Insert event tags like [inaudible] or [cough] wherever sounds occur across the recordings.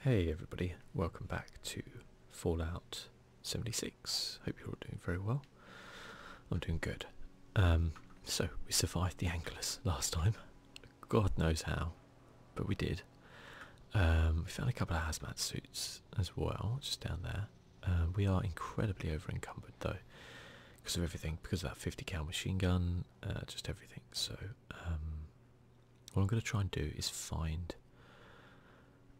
Hey everybody, welcome back to Fallout 76. Hope you're all doing very well. I'm doing good. Um, so, we survived the Anglers last time. God knows how, but we did. Um, we found a couple of hazmat suits as well, just down there. Um, we are incredibly over encumbered though, because of everything, because of that 50 cal machine gun, uh, just everything. So, what I'm going to try and do is find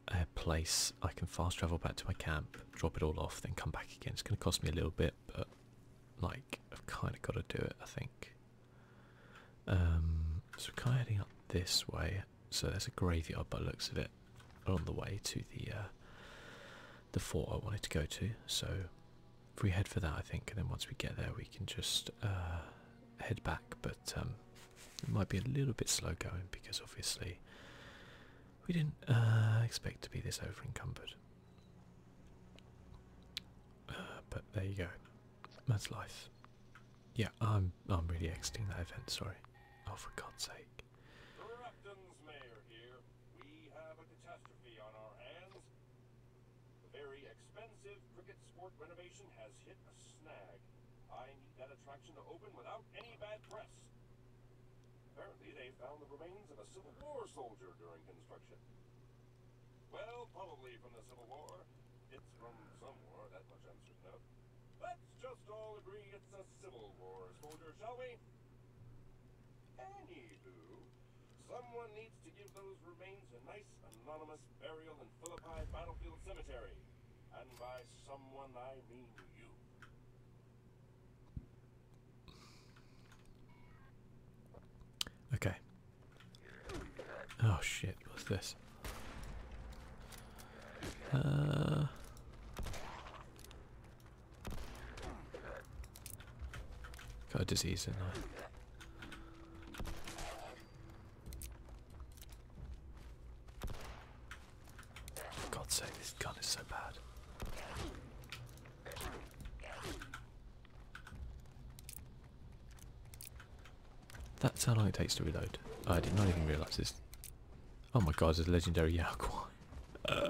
a place I can fast travel back to my camp, drop it all off, then come back again. It's going to cost me a little bit, but like I've kind of got to do it, I think. Um, so we're kind of heading up this way. So there's a graveyard by looks of it along the way to the uh, the fort I wanted to go to. So if we head for that, I think, and then once we get there, we can just uh, head back, but um, it might be a little bit slow going because obviously we didn't uh, expect to be this over encumbered. Uh, but there you go, that's life. Yeah, I'm I'm really exiting that event. Sorry. Oh, for God's sake. The Very expensive cricket sport renovation has hit a snag. I need that attraction to open without any bad press. Apparently they found the remains of a Civil War soldier during construction. Well, probably from the Civil War. It's from somewhere, that much I'm certain of. Let's just all agree it's a Civil War soldier, shall we? Anywho, someone needs to give those remains a nice Anonymous Burial in Philippi Battlefield Cemetery, and by someone I mean you. Okay. Oh shit, what's this? Uh got a disease in there. For God's sake, this gun is so bad. That's how long it takes to reload. I did not even realise this. Oh my god, there's a legendary Yao [laughs]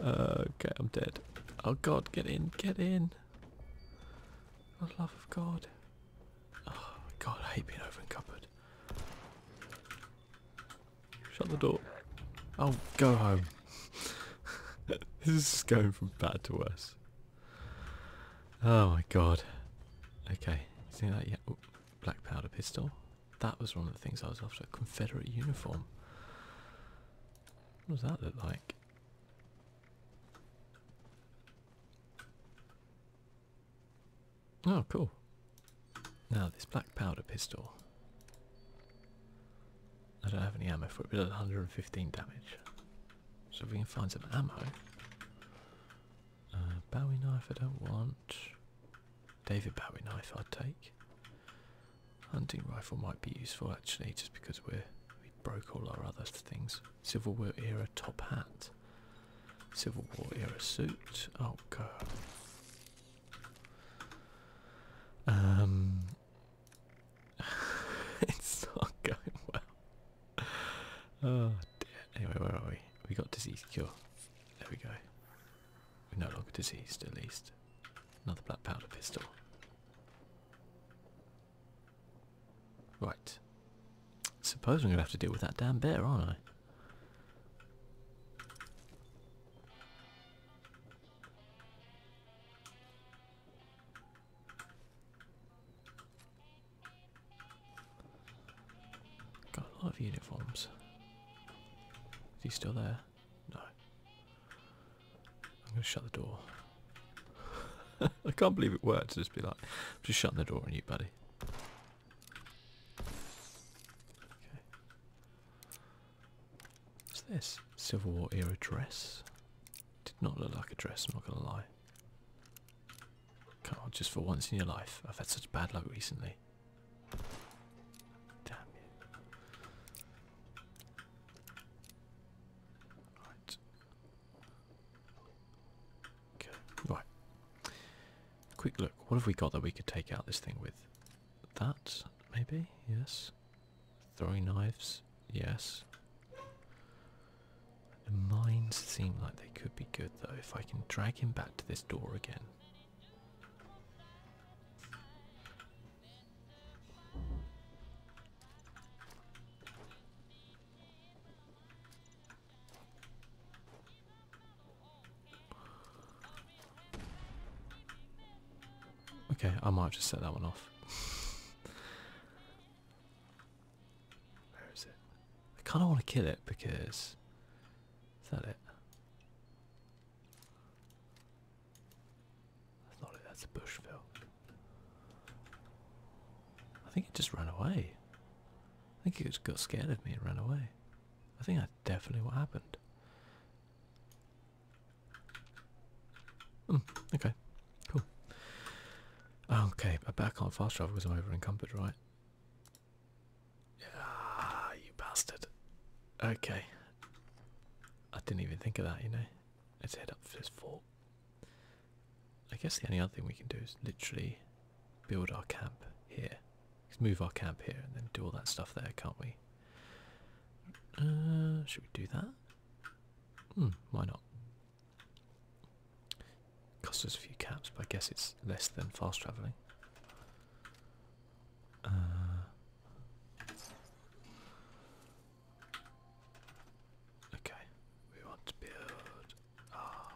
okay, I'm dead. Oh god, get in, get in. For the love of God. Oh my god, hate being over encumbered. Shut the door. Oh, go home. [laughs] this is going from bad to worse. Oh my god. Okay, See that yeah black powder pistol? That was one of the things I was after. Confederate uniform. What does that look like? Oh, cool. Now this black powder pistol. I don't have any ammo for it, but 115 damage. So if we can find some ammo. Uh, Bowie knife I don't want. David Bowie knife I'd take. Hunting rifle might be useful actually, just because we're, we are broke all our other things. Civil War era top hat. Civil War era suit. Oh god. Um [laughs] it's not going well. Oh dear. Anyway, where are we? We got disease cure. There we go. We're no longer diseased at least. Another black powder pistol. Right. Suppose I'm going to have to deal with that damn bear, aren't I? Got a lot of uniforms. Is he still there? No. I'm going to shut the door. [laughs] I can't believe it worked to just be like, I'm just shutting the door on you, buddy. Okay. What's this? Civil War era dress. Did not look like a dress, I'm not going to lie. Come on, just for once in your life. I've had such bad luck recently. Damn you. Right right. Quick look. What have we got that we could take out this thing with? That, maybe? Yes. Throwing knives? Yes. The mines seem like they could be good, though, if I can drag him back to this door again. Okay, I might just set that one off. Where is it? I kind of want to kill it because. Is that it? That's not it, that's a bush fill. I think it just ran away. I think it got scared of me and ran away. I think that's definitely what happened. Hmm, okay, cool. Okay, I bet I can't fast travel because I'm over encumbered, right? Ah, you bastard. Okay. I didn't even think of that, you know. Let's head up for this fort. I guess the only other thing we can do is literally build our camp here. let move our camp here and then do all that stuff there, can't we? Uh, should we do that? Hmm, why not? Cost us a few caps, but I guess it's less than fast travelling. Uh, okay, we want to build Ah.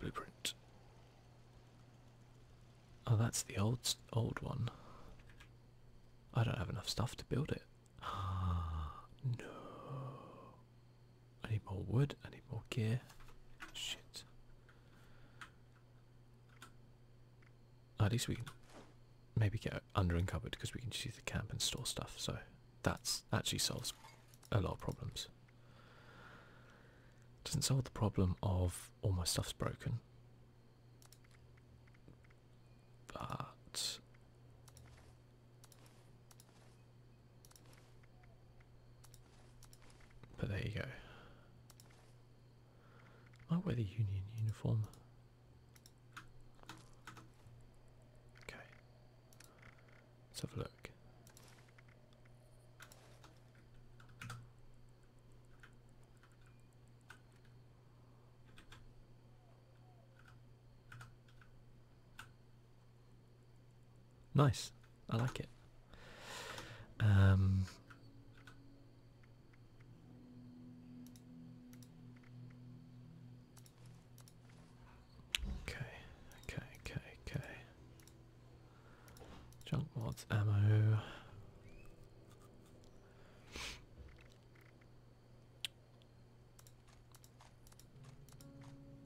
blueprint. Oh, that's the old old one. I don't have enough stuff to build it. [gasps] no. I need more wood. I need more gear. Shit. Oh, at least we can maybe get under and covered because we can use the camp and store stuff. So that's actually solves a lot of problems. Doesn't solve the problem of all my stuff's broken, but but there you go. wear the union uniform. Okay. Let's have a look. Nice. I like it. Um, Okay, okay, okay, okay. Junk mods, ammo.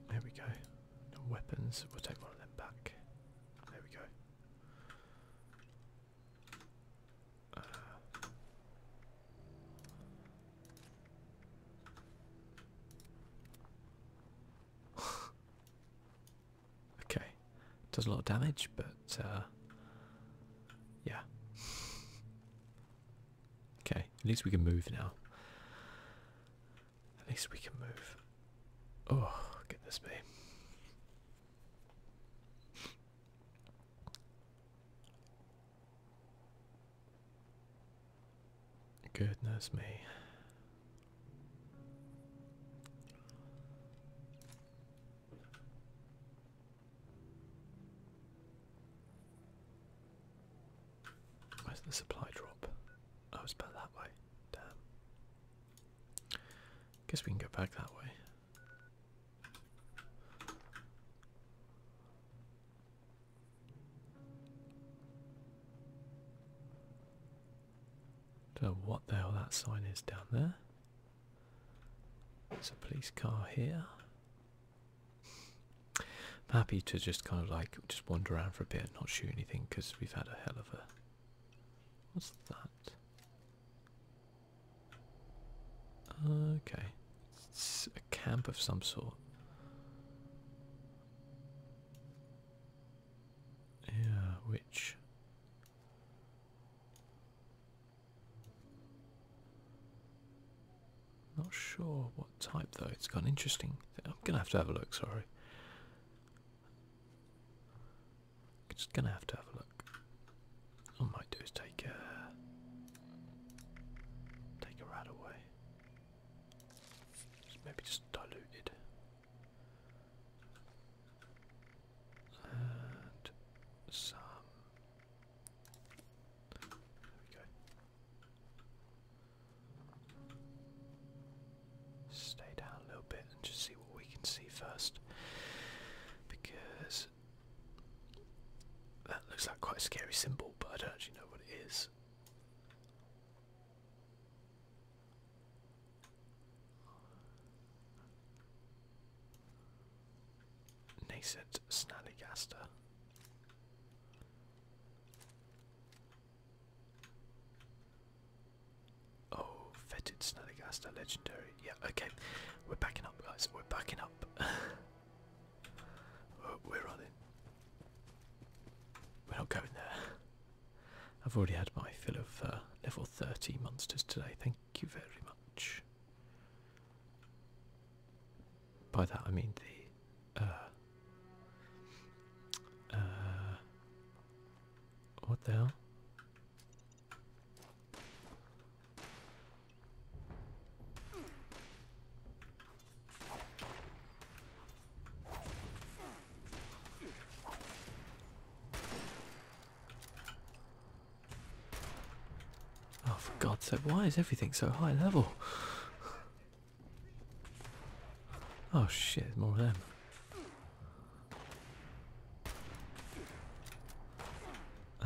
There we go. weapons. We'll take one of them back. There we go. [sighs] okay, does a lot of damage, but uh, yeah. [laughs] Okay, at least we can move now. At least we can move. Oh, goodness me. Goodness me. Where's the supply drop? Oh, it's back that way. Damn. Guess we can go back that way. Don't know what the hell that sign is down there. There's a police car here. I'm happy to just kind of like just wander around for a bit not shoot anything because we've had a hell of a. What's that? Okay, it's a camp of some sort. Yeah, which not sure what type though. It's got interesting. I'm gonna have to have a look. Sorry, just gonna have to have a look. What I might do is take a take a rat away. maybe just diluted. And some. There we go. Stay down a little bit and just see what we can see first. Because that looks like quite a scary symbol, but I don't actually know what it is. Nascent Snallygaster. Oh, fetid Snallygaster, legendary. Yeah, okay. We're backing up, guys. We're backing up. [laughs] Oh, are running. We're not going there. I've already had my fill of uh, level 30 monsters today. Thank you very much. By that I mean the. Uh, uh, what the hell? Oh, for God's sake, why is everything so high level? Oh shit, more of them. Uh,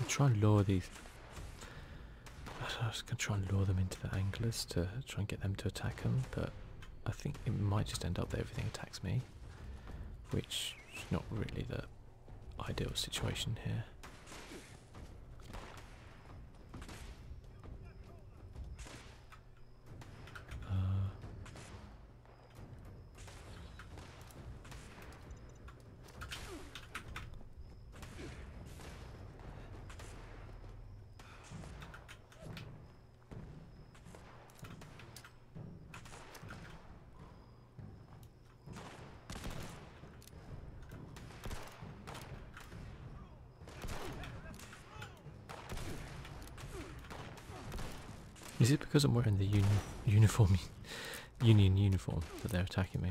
I'll try and lure these. I was going to try and lure them into the anglers to try and get them to attack them, but I think it might just end up that everything attacks me, which is not really the ideal situation here. Uh, is it because I'm wearing the uni uniform, [laughs] union uniform that they're attacking me?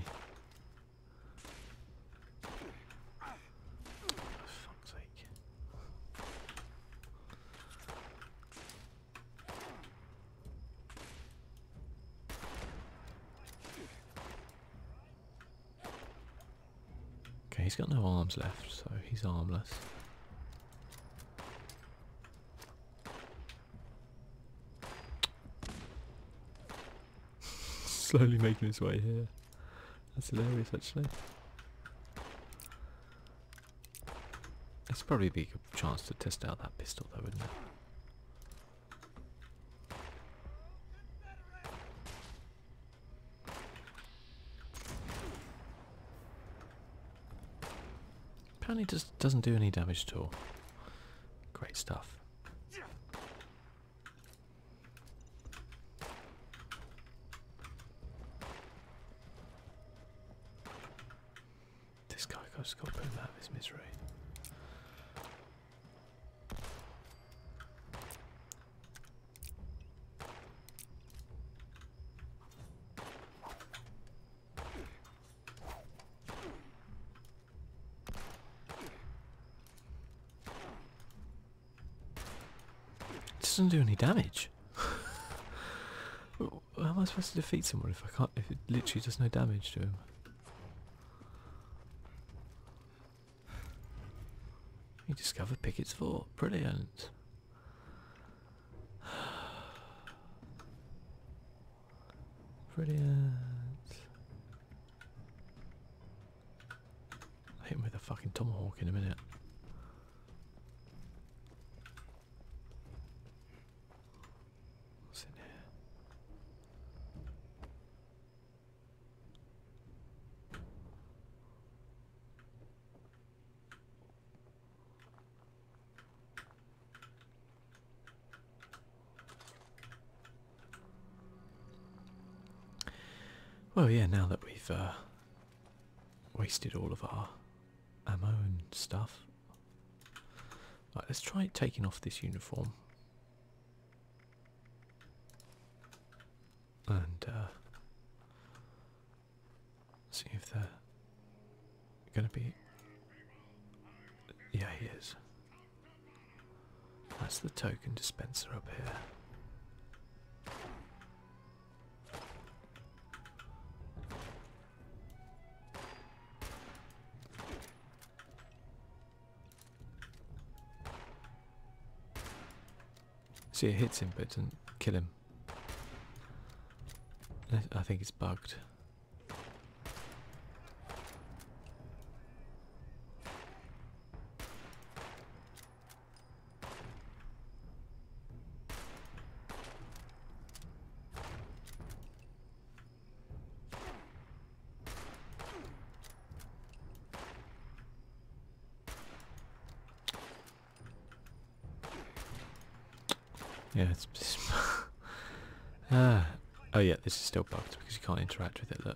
Okay, he's got no arms left, so he's armless. Slowly making his way here. That's hilarious, actually. It's probably be a chance to test out that pistol, though, wouldn't it? Apparently, just doesn't do any damage at all. Great stuff. This guy goes got to put him out of his misery. It doesn't do any damage. How am I supposed to defeat someone if I can't? If it literally does no damage to him. You discover Pickett's Fort. Brilliant. Brilliant. hit me with a fucking tomahawk in a minute. What's in here? Well, yeah, now that we've uh, wasted all of our ammo and stuff, let's try taking off this uniform. And uh, see if they're going to be. Yeah, he is. That's the token dispenser up here. See, it hits him, but doesn't kill him. I think it's bugged. Yeah, it's... uh, [laughs] oh yeah, this is still bugged because you can't interact with it though.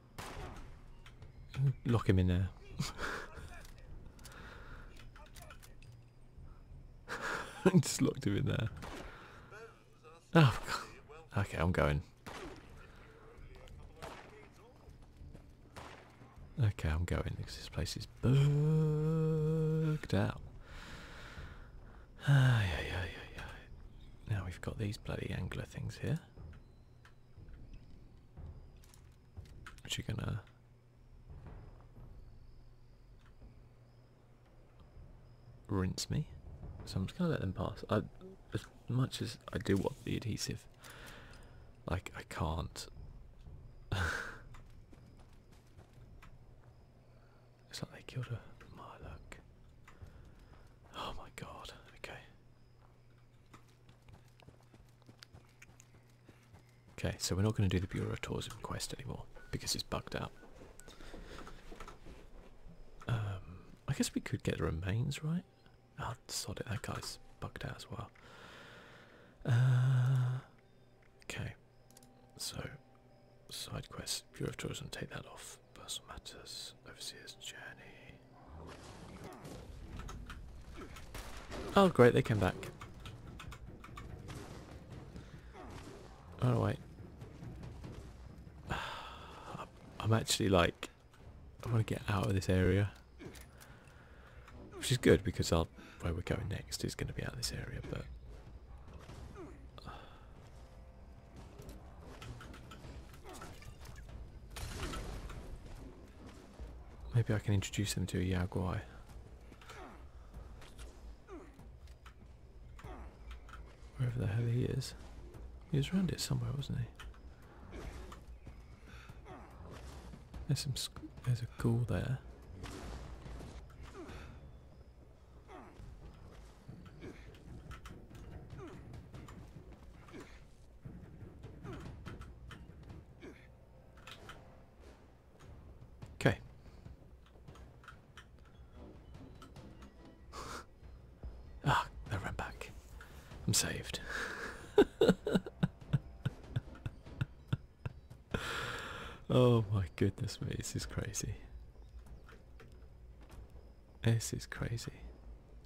Lock him in there. [laughs] Just lock him in there. Oh, God. okay, I'm going. Okay, I'm going because this place is booked out. Ay, ay, ay, ay, ay. Now we've got these bloody angler things here. Are you gonna? Rinse me, so I'm just gonna let them pass. I, as much as I do want the adhesive, like I can't. [laughs] it's like they killed a my luck. Oh my god! Okay, Okay, so we're not going to do the Bureau of Tourism quest anymore because it's bugged out. Um, I guess we could get the remains, right? Oh, sod it, that guy's bugged out as well. Uh, okay, so side quest, Bureau of Tourism, take that off. Personal matters. Oh great, they came back. Oh wait. [sighs] I'm actually like I want to get out of this area. Which is good because I'll where we're going next is going to be out of this area, but Maybe I can introduce him to a Yaguai. Wherever the hell he is. He was around it somewhere, wasn't he? There's a ghoul there. Okay. [laughs] ah, I ran back. I'm saved. [laughs] oh my goodness me, this is crazy. This is crazy.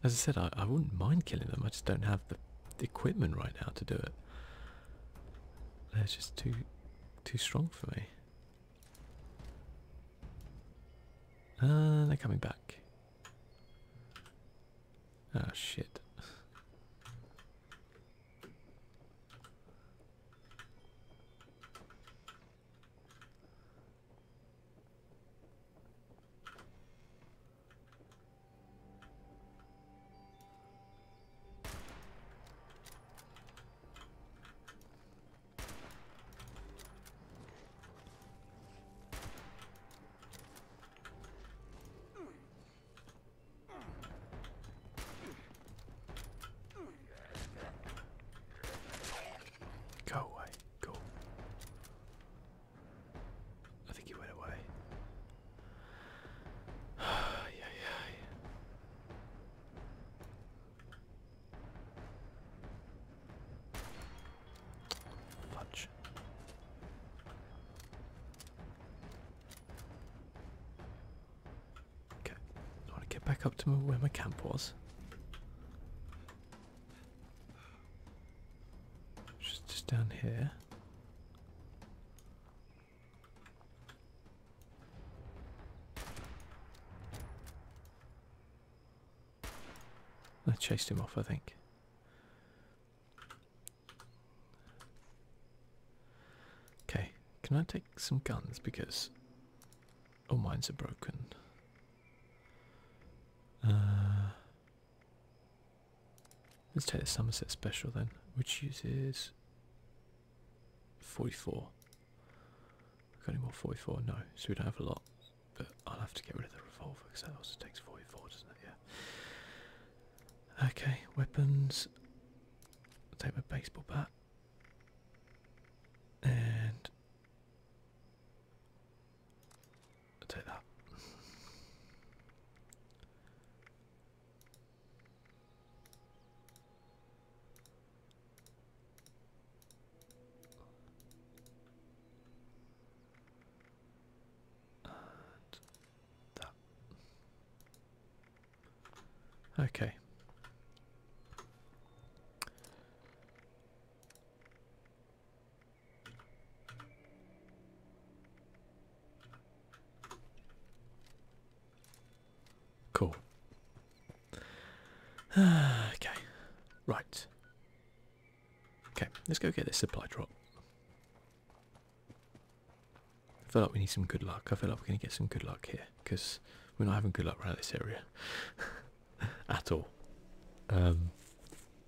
As I said, I, I wouldn't mind killing them, I just don't have the, equipment right now to do it. They're just too too strong for me. Uh they're coming back. Oh shit. Go away, go. I think he went away. yeah, yeah, yeah. Fudge. Okay, I want to get back up to where my camp was just down here. I chased him off, I think. Okay, can I take some guns because all mines are broken. Uh, Let's take the Somerset Special then, which uses 44. We've got any more 44? No, so we don't have a lot. But I'll have to get rid of the revolver because that also takes 44, doesn't it? Yeah. Okay, weapons. take my baseball bat. And take that. that. Okay. Cool. [sighs] okay. Right. Okay, let's go get this supply drop. I feel like we need some good luck. I feel like we're going to get some good luck here because we're not having good luck around this area [laughs] at all. Um,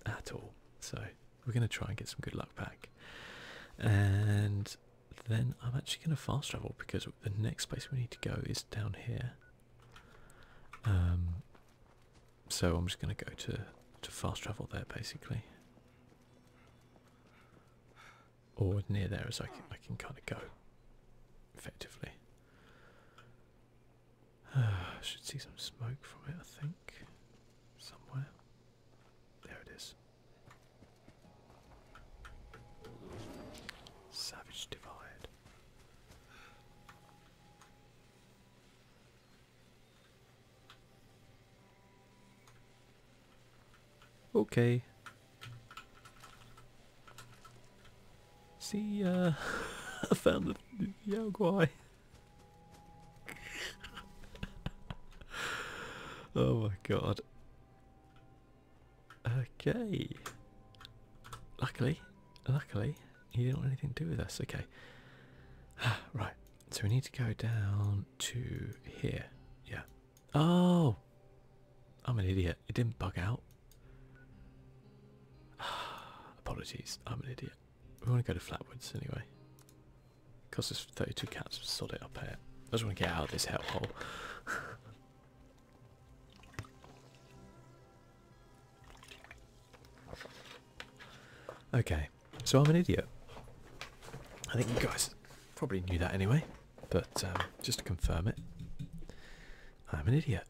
at all. So we're gonna try and get some good luck back, and then I'm actually gonna fast travel because the next place we need to go is down here. Um, so I'm just gonna go to to fast travel there basically, or near there as I can, I can kind of go, effectively. I [sighs] should see some smoke from it, I think somewhere. There it is. Savage Divide. Okay. See, uh, [laughs] I found the Yaogwai. [laughs] oh my god. Okay. Luckily, luckily, he didn't want anything to do with us. Okay. [sighs] right. So we need to go down to here. Yeah. Oh! I'm an idiot. It didn't bug out. [sighs] Apologies. I'm an idiot. We want to go to Flatwoods anyway. Because there's 32 cats, sod it up here. Eh? I just want to get out of this hellhole. [laughs] okay, so I'm an idiot. I think you guys probably knew that anyway, but um, just to confirm it, I'm an idiot.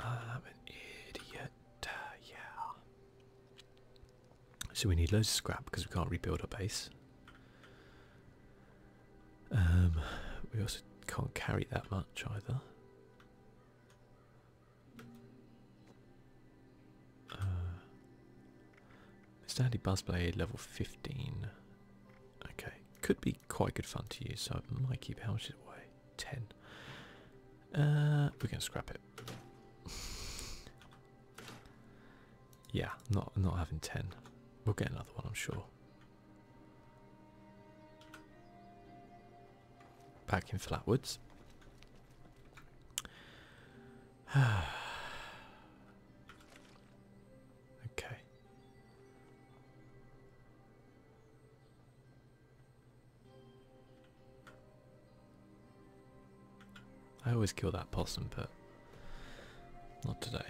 I'm an idiot. yeah. So we need loads of scrap because we can't rebuild our base. Um, we also can't carry that much either. Uh, Standy Buzzblade level 15. Okay, could be quite good fun to use, so I might keep House's away ten. Uh, we can scrap it. yeah, not not having ten. We'll get another one, I'm sure. Back in Flatwoods. [sighs] okay. I always kill that possum, but not today.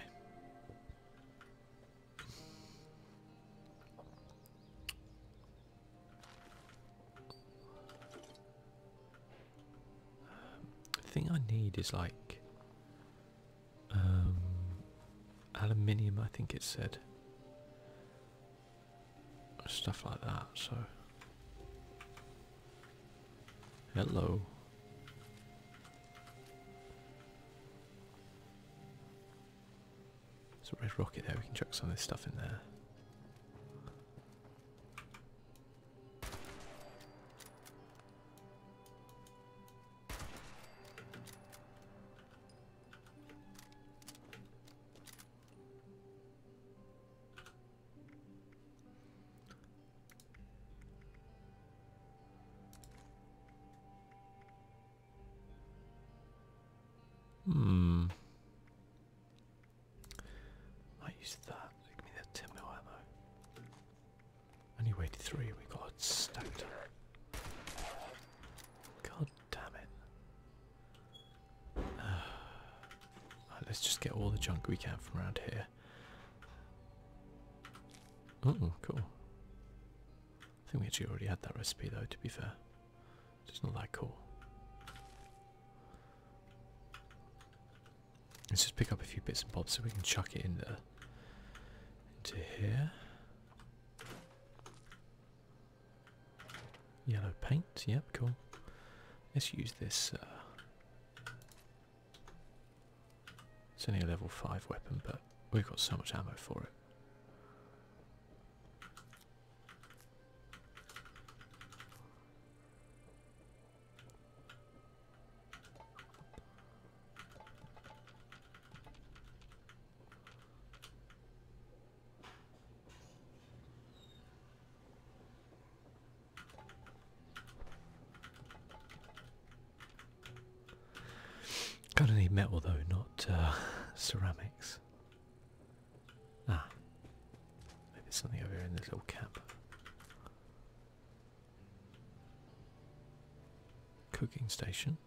The thing I need is like um, aluminium, I think it said. Stuff like that, so. Hello. There's rocket there, we can chuck some of this stuff in there. Hmm. I used that. Give me that 10 mil ammo. Only waited three, we got stacked up. God Damn it. [sighs] let's just get all the junk we can from around here. Oh, cool. I think we actually already had that recipe though, to be fair. It's not that cool. Let's just pick up a few bits and bobs so we can chuck it in there. Into here. Yellow paint, yep, cool. Let's use this. Uh, it's only a level 5 weapon, but we've got so much ammo for it. Kind of need metal though, not uh, ceramics. Ah, maybe something over here in this little cap. Cooking station.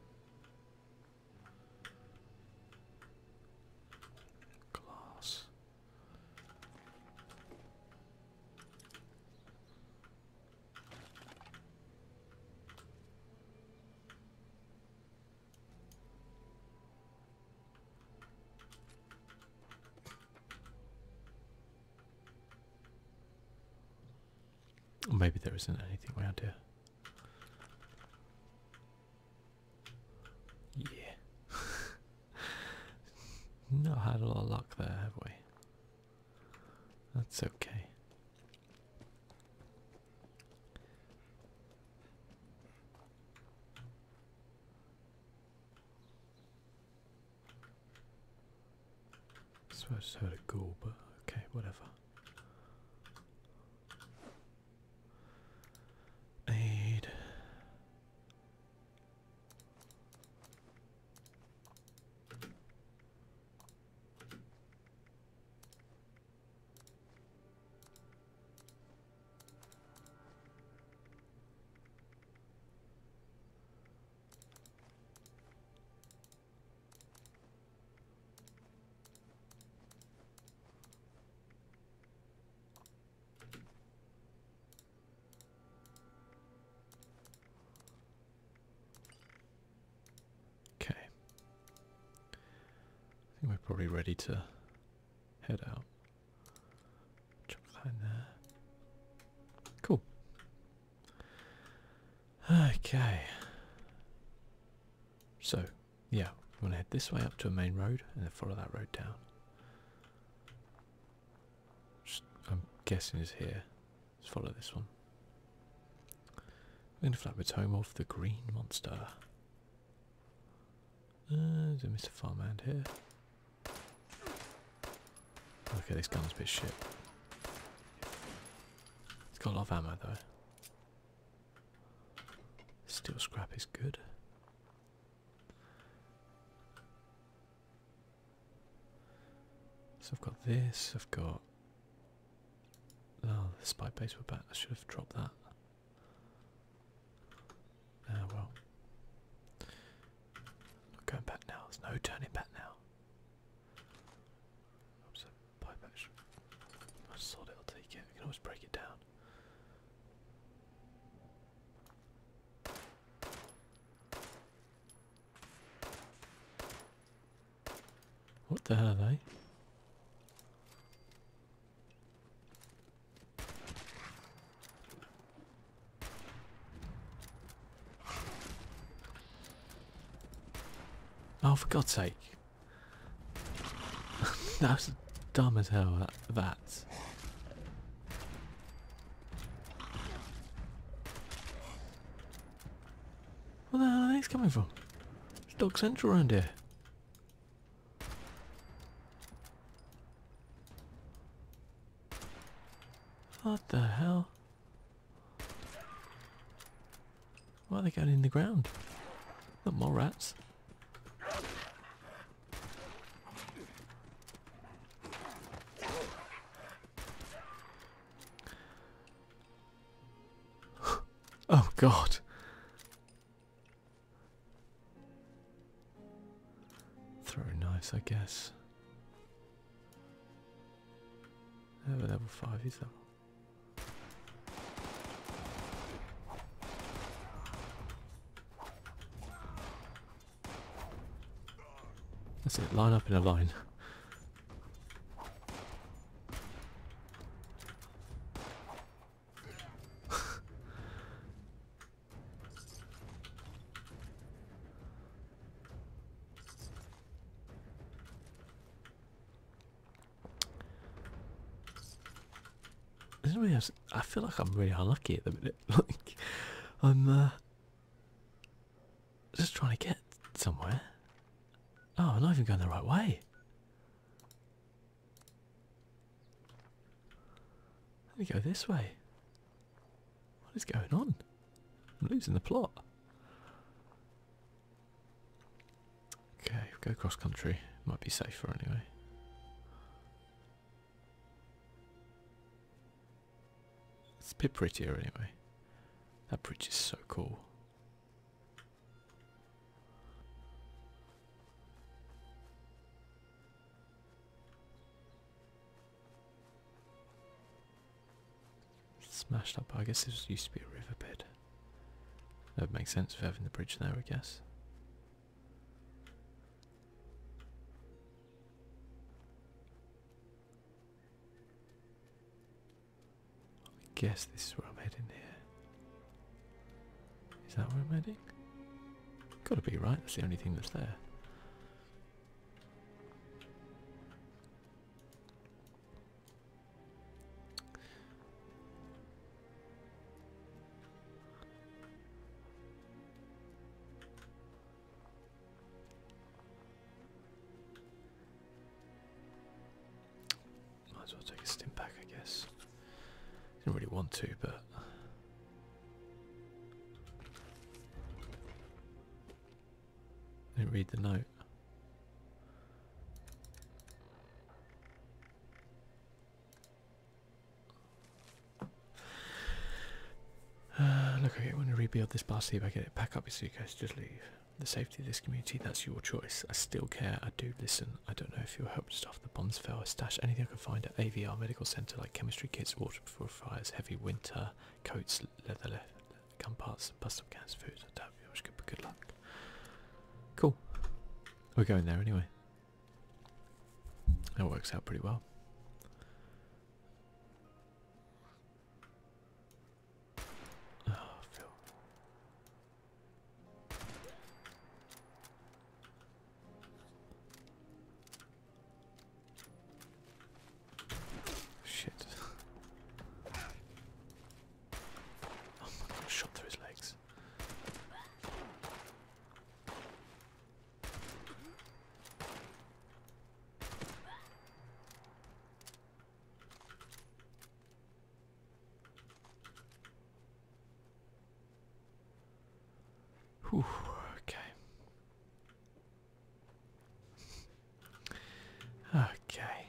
Glass. Maybe there isn't anything around here. Yeah. [laughs] Not had a lot of luck there, have we? That's okay. So I just had to go, but okay, whatever. Aid. Okay. I think we're probably ready to head out. Jump behind there. Cool. Okay. So yeah, we going to head this way up to a main road and then follow that road down. I'm guessing is here. Let's follow this one. We're going to Flatwood's home of the green monster. Uh, is it Mr. Farmhand here? Okay, this gun's a bit shit. It's got a lot of ammo though. Steel scrap is good. So I've got this, I've got. Oh, the spy base we're back. I should have dropped that. Ah, well. i going back now. There's no turning back now. I just thought it'll take it. I can always break it down. What the hell are eh? they? Oh, for God's sake. [laughs] that was dumb as hell, that. that. Where the hell are these coming from? It's Dog Central around here. What the hell? Why are they going in the ground? Not more rats. [sighs] oh god. Throw knives, I guess. level 5 is level that's it, line up in a line. I, feel like I'm really unlucky at the minute. [laughs] like, I'm uh, just trying to get somewhere. Oh, I'm not even going the right way. Let me go this way. What is going on? I'm losing the plot. Okay, go cross country. Might be safer anyway. It's a bit prettier anyway. That bridge is so cool. Smashed up, I guess this used to be a riverbed. That would make sense for having the bridge there, I guess. I guess this is where I'm heading here. Is that where I'm heading? Gotta be right, that's the only thing that's there. Might as well take a stim back, I guess. Didn't really want to, but. I didn't read the note. Uh, [sighs] look, okay, want to rebuild this bar. See if I get it, back up your suitcase, just leave. The safety of this community, that's your choice. I still care, I do listen. I don't know if you'll help stuff the bombs fell. I stash anything I could find at AVR Medical Centre, like chemistry kits, water before fires, heavy winter coats, leather, leather gun parts, bust up cans, food. I doubt you. Good, good luck. Cool. We're going there anyway. That works out pretty well. Ah, Shit shot through his legs. okay. Okay.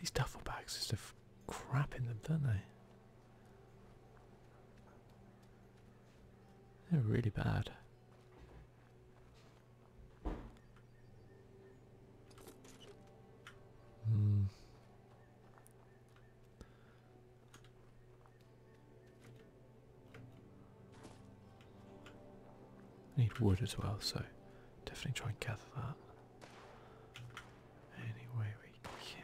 These duffel bags just have crap in them, don't they? They're really bad. Mm. I need wood as well, so definitely try and gather that any way we can.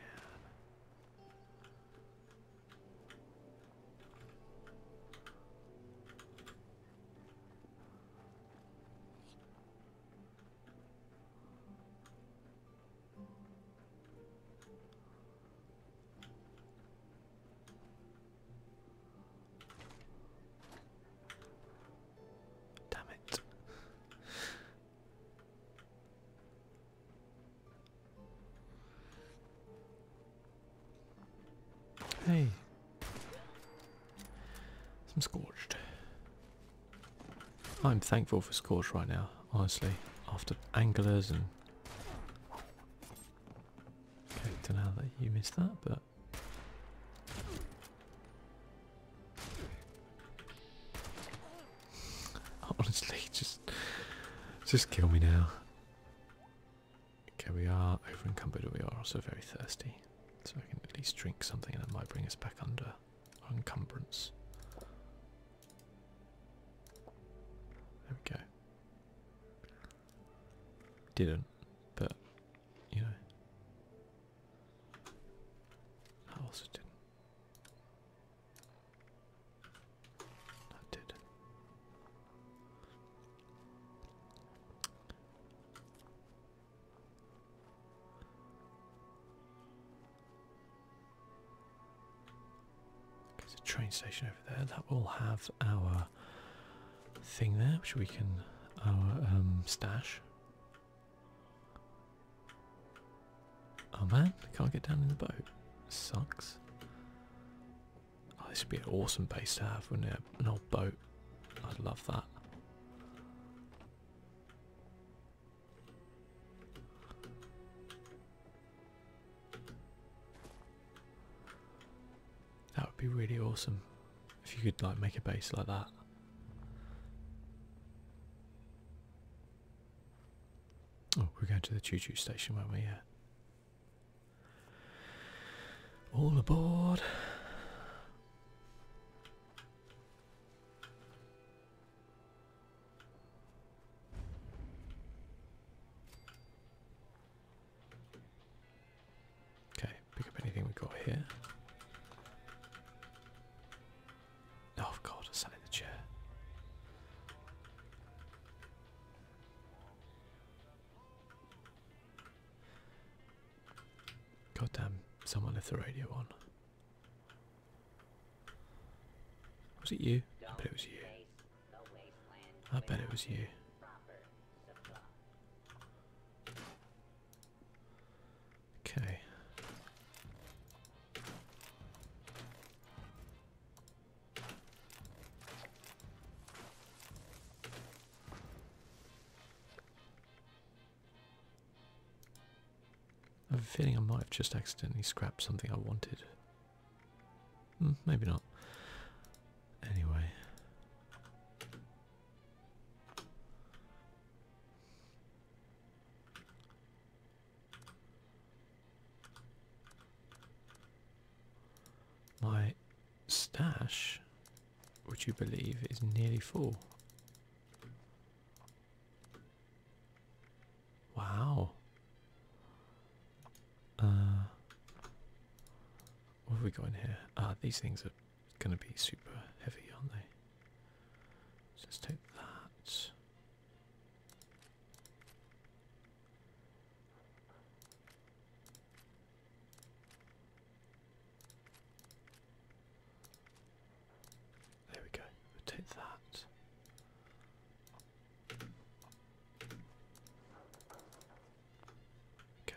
Damn it. hey. I'm scorched. I'm thankful for scorched right now, honestly. After anglers and Okay, don't know that you missed that, but that. [laughs] Honestly, just just kill me now. Okay, we are over encumbered, we are also very thirsty. So I can at least drink something and it might bring us back under our encumbrance. There we go. Didn't, but you know. I also didn't. Not did. There's a train station over there. That will have our thing there, which we can our um, stash. Oh man, I can't get down in the boat. Sucks. Oh, this would be an awesome base to have, wouldn't it? An old boat. I'd love that. That would be really awesome. If you could like make a base like that. Oh, we're going to the choo-choo station, will not we? All aboard. Okay, pick up anything we've got here. Oh god, I sat in the chair. God damn, someone left the radio on. Was it you? I bet it was you. I bet it was you. Okay. I am feeling I might have just accidentally scrapped something I wanted. Hmm, maybe not. Anyway. My stash, would you believe, is nearly full. Wow. Uh, what have we got in here? Ah, these things are it's going to be super heavy, aren't they? let's take that. There we go. take that. Okay.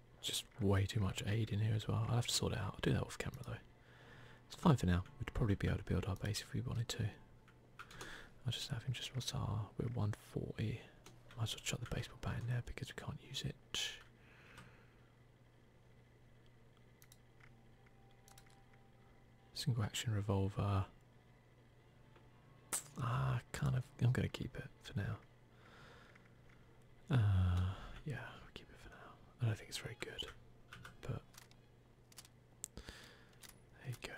just way too much aid in here as well. I'll have to sort it out. I'll do that off camera though. It's fine for now. We'd probably be able to build our base if we wanted to. I'll just have him just what's ah, our we're 140. Might as well chuck the baseball bat in there because we can't use it. Single action revolver. Ah, kind of. I'm going to keep it for now. Uh, yeah, we keep it for now. I don't think it's very good, but there you go.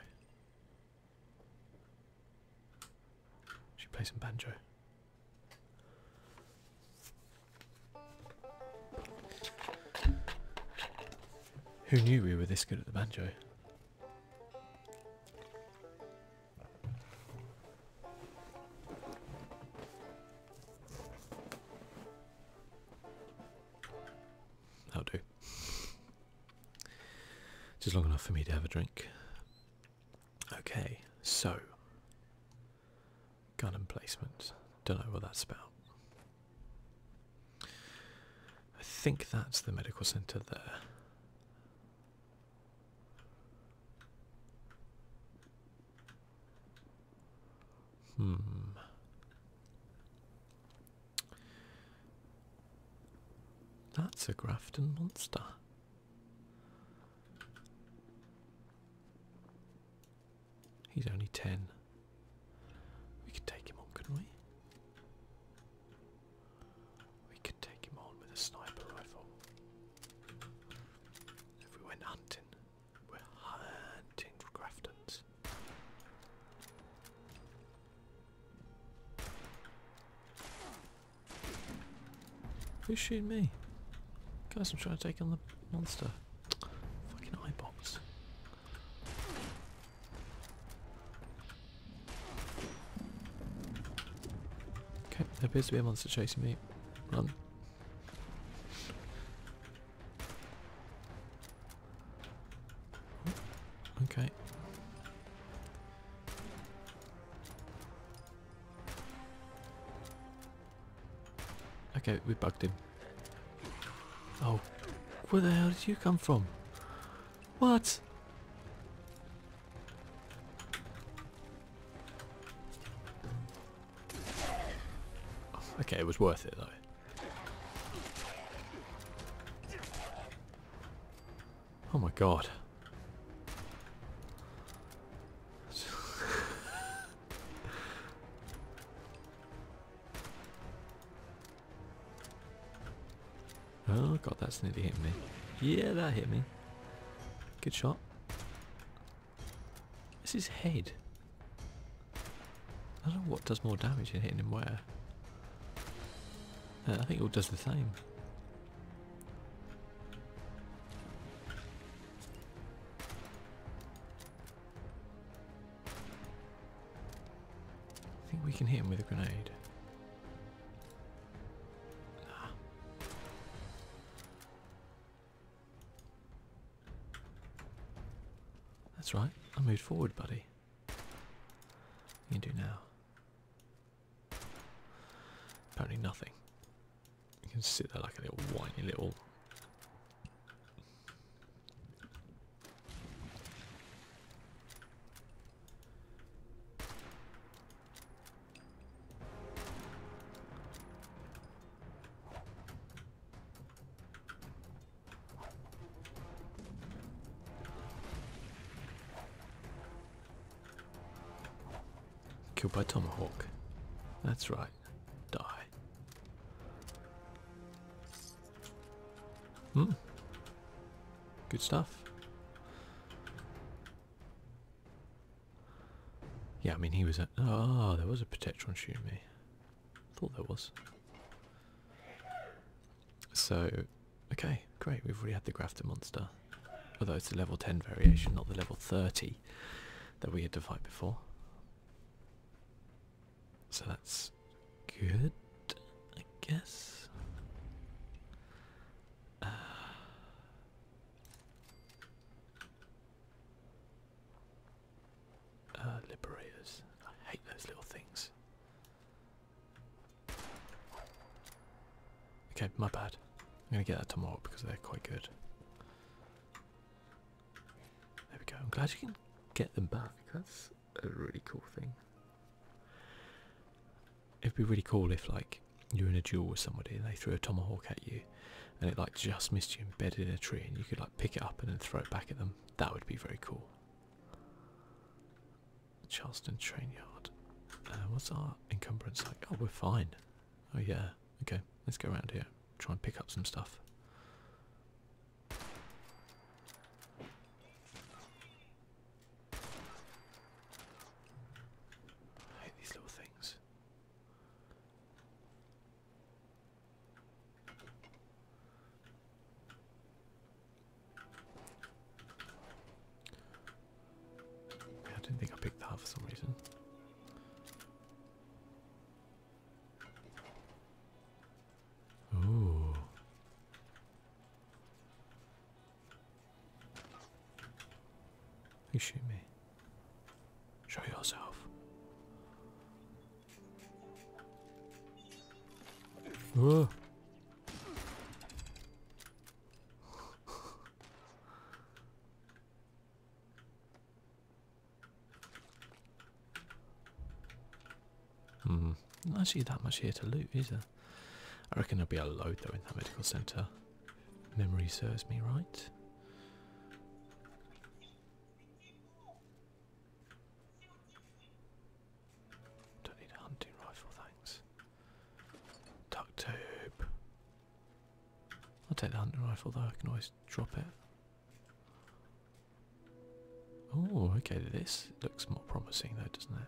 Should play some banjo. Who knew we were this good at the banjo? That'll do. Just long enough for me to have a drink. Okay, so gun placement. Don't know what that's about. I think that's the medical centre there. Hmm. That's a Grafton monster. He's only 10. We could take him on, couldn't we? We could take him on with a sniper rifle. If we went hunting. We're hunting for Graftons. Who's shooting me? Guys, I'm trying to take on the monster. Fucking eye box. Okay, there appears to be a monster chasing me. Run. Okay. Okay, we bugged him. Oh, where the hell did you come from? What? Okay, it was worth it though. Oh my god. [laughs] oh god, that's nearly hit me. Yeah, that hit me. Good shot. It's his head. I don't know what does more damage in hitting him where. Uh, I think it all does the same. I think we can hit him with a grenade. That's right, I moved forward, buddy. You can do now? Apparently nothing. You can sit there like a little whiny little Killed by tomahawk. That's right. Die. Hmm. Good stuff. Yeah, I mean, he was at. Oh, there was a protector shooting me. Thought there was. So, okay, great. We've already had the Grafted monster. Although it's the level 10 variation, not the level 30 that we had to fight before. So that's good, I guess. Uh, uh, liberators. I hate those little things. Okay, my bad. I'm gonna get that tomorrow because they're quite good. There we go. I'm glad you can get them back. That's a really cool thing. It'd be really cool if, like, you're in a duel with somebody and they threw a tomahawk at you and it like just missed you embedded in a tree and you could like pick it up and then throw it back at them. That would be very cool. Charleston train yard. Uh, what's our encumbrance like? Oh, we're fine. Oh yeah. Okay, let's go around here. Try and pick up some stuff. I hate these little things. I didn't think I picked that for some reason. Ooh. You shoot me. Show yourself. Whoa. Hmm, not actually that much here to loot, is I reckon there'll be a load though in that medical centre. Memory serves me right. Don't need a hunting rifle, thanks. Duct tape. I'll take the hunting rifle though, I can always drop it. Oh, okay, this looks more promising though, doesn't it?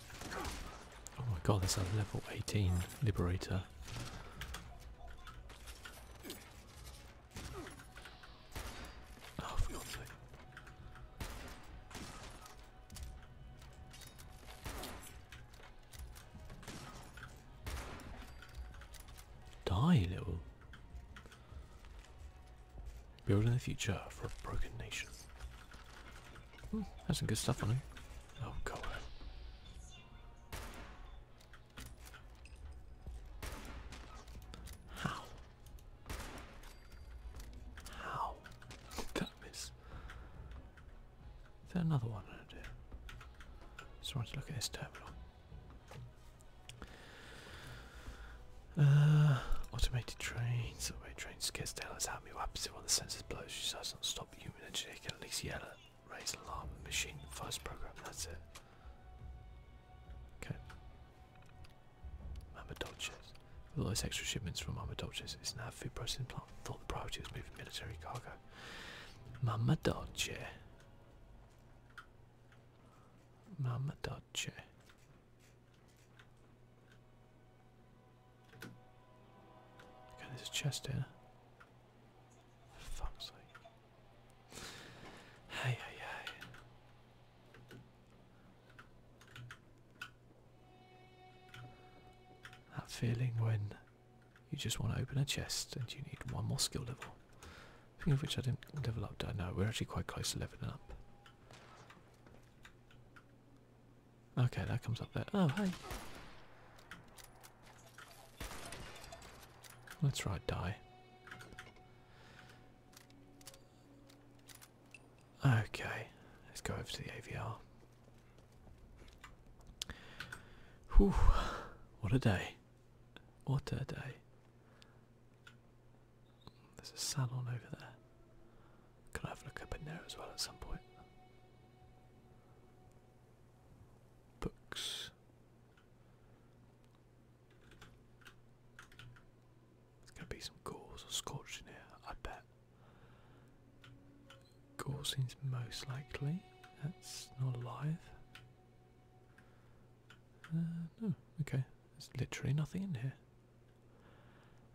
Oh my god, that's a level 18 liberator. Oh, Die, little. Building the future for a broken nation. Ooh, has some good stuff on it. Oh god. How? How that miss? Is another one I do? Just wanted to look at this terminal. Uh, automated train, subway trains skids down, let's help me up. See what the sensors blows, she says not human engineer can raise alarm machine first program. That's it. Okay. Mama Dolces. all those extra shipments from Mama Dolces, it's now food processing plant. Thought the priority was moving military cargo. Mama Dolce. Mama Dolce. Okay, there's a chest here. fuck's sake. Hey, hey, hey. That feeling when you just want to open a chest and you need one more skill level. Speaking of which I didn't level up, I know we're actually quite close to leveling up. Okay, that comes up there. Oh, hey. Let's try die. Okay, let's go over to the AVR. Whew, what a day. What a day. There's a salon over there. Can I have a look up in there as well at some point? Books. There's going to be some gauze or scorched here, I bet. Gauze seems most likely. That's not alive. Uh, no, okay. There's literally nothing in here.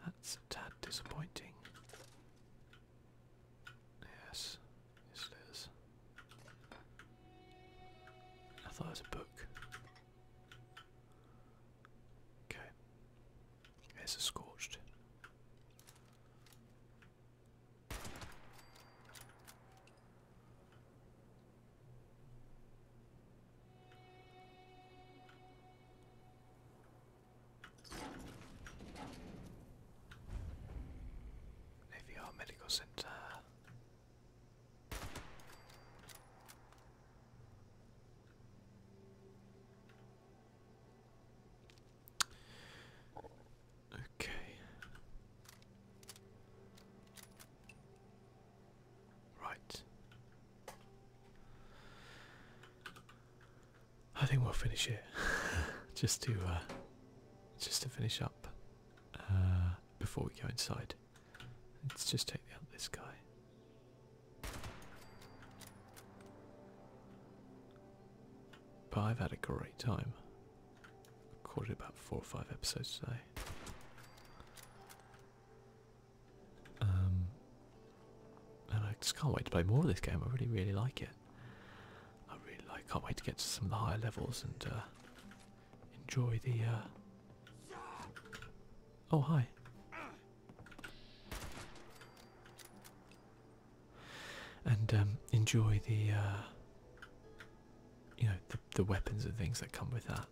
That's a tad disappointing. Yes, it is. I thought it was a book. Okay. It's a scorched. AVR Medical Center. Okay. Right. I think we'll finish it [laughs] just to uh, just to finish up uh, before we go inside. Let's just take out this guy. But I've had a great time. Recorded about four or five episodes today. Um, and I just can't wait to play more of this game. I really, really like it. I really Can't wait to get to some of the higher levels and uh, enjoy the. Uh, oh hi. And um, enjoy the. Uh, you know the weapons and things that come with that.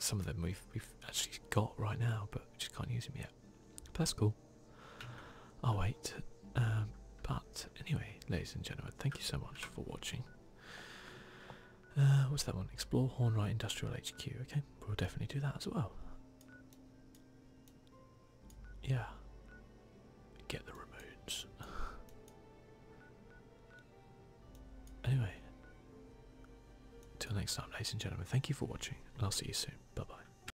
Some of them we've we've actually got right now, but we just can't use them yet that's cool. I'll wait. Um, but anyway, ladies and gentlemen, thank you so much for watching. Uh, what's that one? Explore Hornwright Industrial HQ. Okay, we'll definitely do that as well. Yeah. Get the remotes. [laughs] anyway, till next time, ladies and gentlemen, thank you for watching, and I'll see you soon. Bye bye.